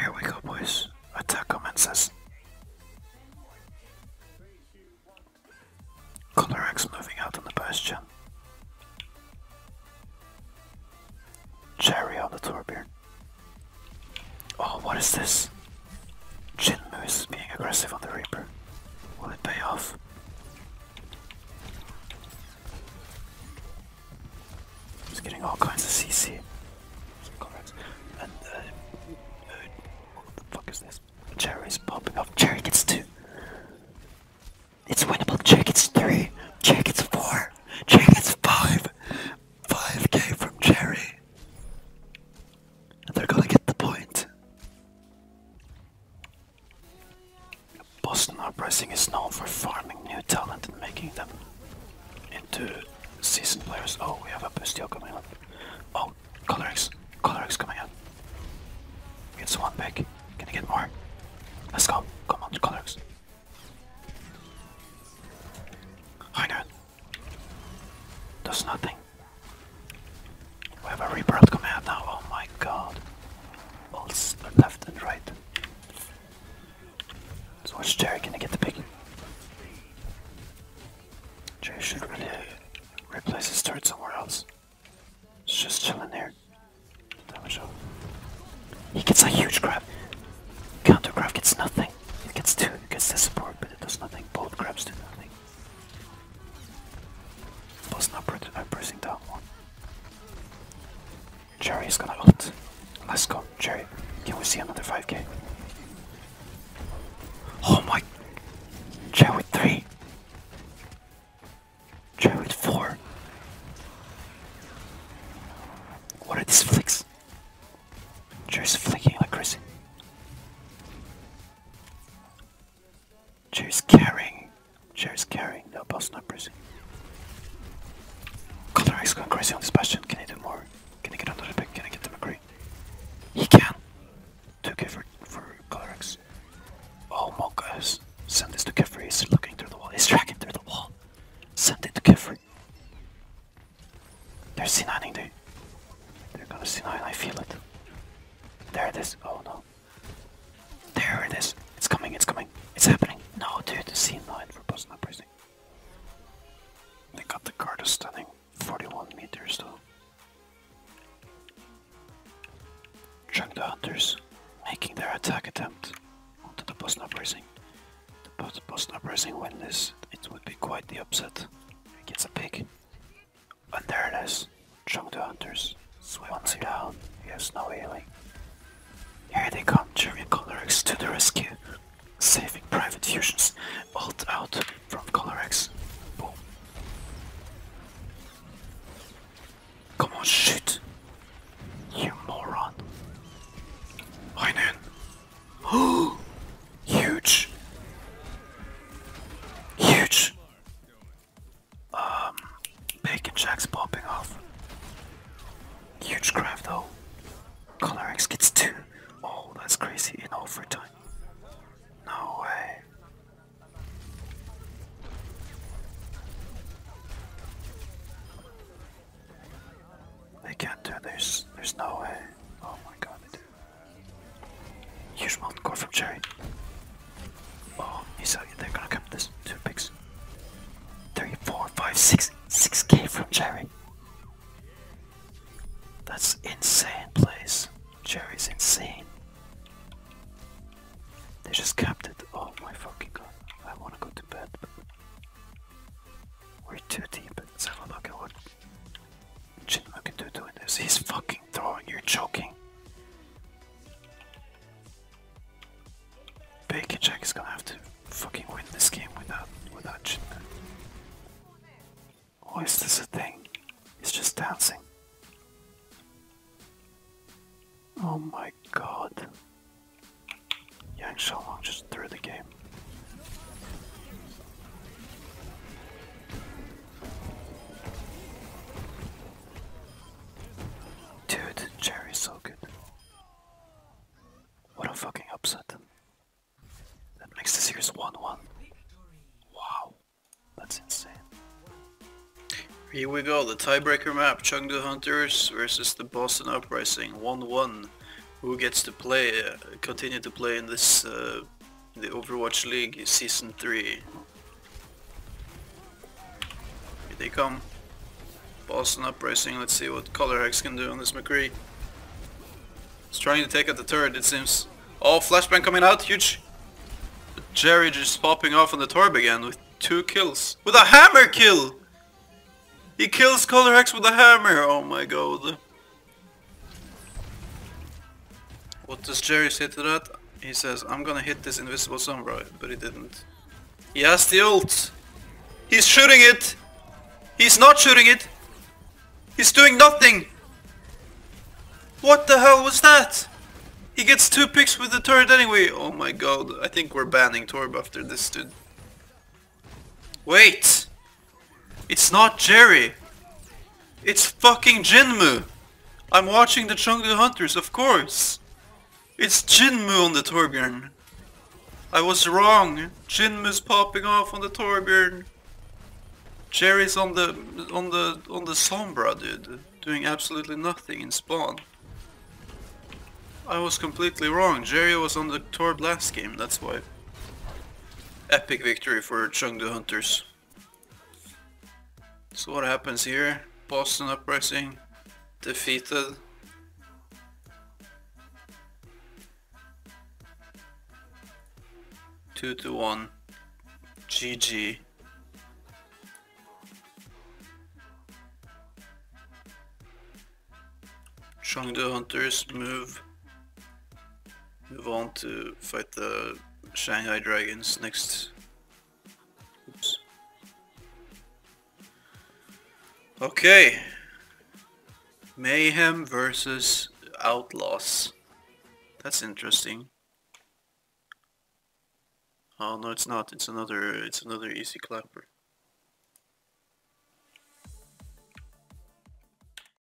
Here we go, boys. Attack commences. Colorex moving out on the bastion. Cherry on the Tourbeard. Oh, what is this? Jinmu is being aggressive on the Reaper. Will it pay off? Just getting all kinds of CC. And uh, what the fuck is this? Cherry's popping up. Cherry gets two. It's winnable. Cherry gets three. Cherry gets four. Cherry gets five. 5k from Cherry. they're gonna get the point. Boston Uprising is known for farming new talent and making them into seasoned players. Oh, we have a Bustio coming up. Oh, Colorix. Colorix coming up. It's one big. Can you get more? Let's go. Come on, Colorix. Hi, Does nothing something. We have a rebirth command now, oh my god. All left and right. So which Jerry can I get the pick? Jerry should really replace his turret somewhere else. It's just chilling there. Damage up. He gets a huge grab. Counter grab gets nothing. It gets two, it gets the support, but it does nothing. Both grabs do nothing. Was not pre no pressing that one. Jerry is gonna ult. Let's go, Jerry. Can we see another 5k? Oh my. Jerry with 3. Jerry with 4. What are these flicks? Jerry's flicking like crazy. Choose carrying. Choose carrying. No boss, no prison. Color X going crazy on this bastion. Can he do more? Can he get another pick? Can I get the McCree? He can. 2k for, for Color X. Oh, Monkas. Send this to Kefri. He's looking through the wall. He's tracking through the wall. Send it to Kefri. They're C9ing. They, they're gonna C9. I feel it. There it is. Oh no. There it is. It's coming, it's coming. It's happening. No, dude, the scene line for post not pressing. They got the card is stunning. 41 meters though. Check the hunters, making their attack attempt onto the Bosna pressing. The Bosna pressing win this, it would be quite the upset. It gets a pig. When they're chunk the hunters. Once her down, he has no healing. Here they come, German Colorex to the rescue. Saving Private Fusion's ult out from Colorex. Boom. Come on, shoot! You moron. Heinen. Huge. Huge. Um, bacon jacks popping off. Huge grab though. Color X gets two. Oh, that's crazy in overtime. No way. They can't do this. There's no way. Oh my god, you Huge mountain core from Jerry. Oh, he's out. They're gonna come this. Two picks. Three, four, five, six, six K from Jerry. That's insane place. Jerry's insane. They just capped it. Oh my fucking god. I wanna go to bed. But we're too deep. Let's have a look at what Chinma can do doing this. He's fucking throwing. You're choking. Bacon Jack is gonna have to fucking win this game without without Chinma. Oh, is this a thing? He's just dancing. Oh my god. Yang Long just threw the game. Dude, Jerry's so good. What a fucking upset. That makes the series 1 1. Wow, that's insane. Here we go, the tiebreaker map Chengdu Hunters versus the Boston Uprising 1 1. Who gets to play, uh, continue to play in this uh, the Overwatch League Season 3. Here they come. Boston Uprising, let's see what Color Hex can do on this McCree. He's trying to take out the turret, it seems. Oh, flashbang coming out, huge! Jerry just popping off on the Torb again with two kills. With a hammer kill! He kills Color Hex with a hammer! Oh my god. What does Jerry say to that? He says, I'm gonna hit this invisible samurai, but he didn't. He has the ult! He's shooting it! He's not shooting it! He's doing nothing! What the hell was that? He gets two picks with the turret anyway! Oh my god, I think we're banning Torb after this dude. Wait! It's not Jerry! It's fucking Jinmu! I'm watching the Chengdu Hunters, of course! It's Jinmu on the Torbjorn! I was wrong! Jinmu's popping off on the Torbjorn! Jerry's on the on the on the Sombra dude, doing absolutely nothing in spawn. I was completely wrong. Jerry was on the Torb last game, that's why. Epic victory for Chengdu Hunters. So what happens here? Boston Uprising defeated. Two to one. GG. Chengdu Hunters move move on to fight the Shanghai Dragons next. Oops. Okay. Mayhem versus Outlaws. That's interesting. Oh no, it's not. It's another. It's another easy clapper.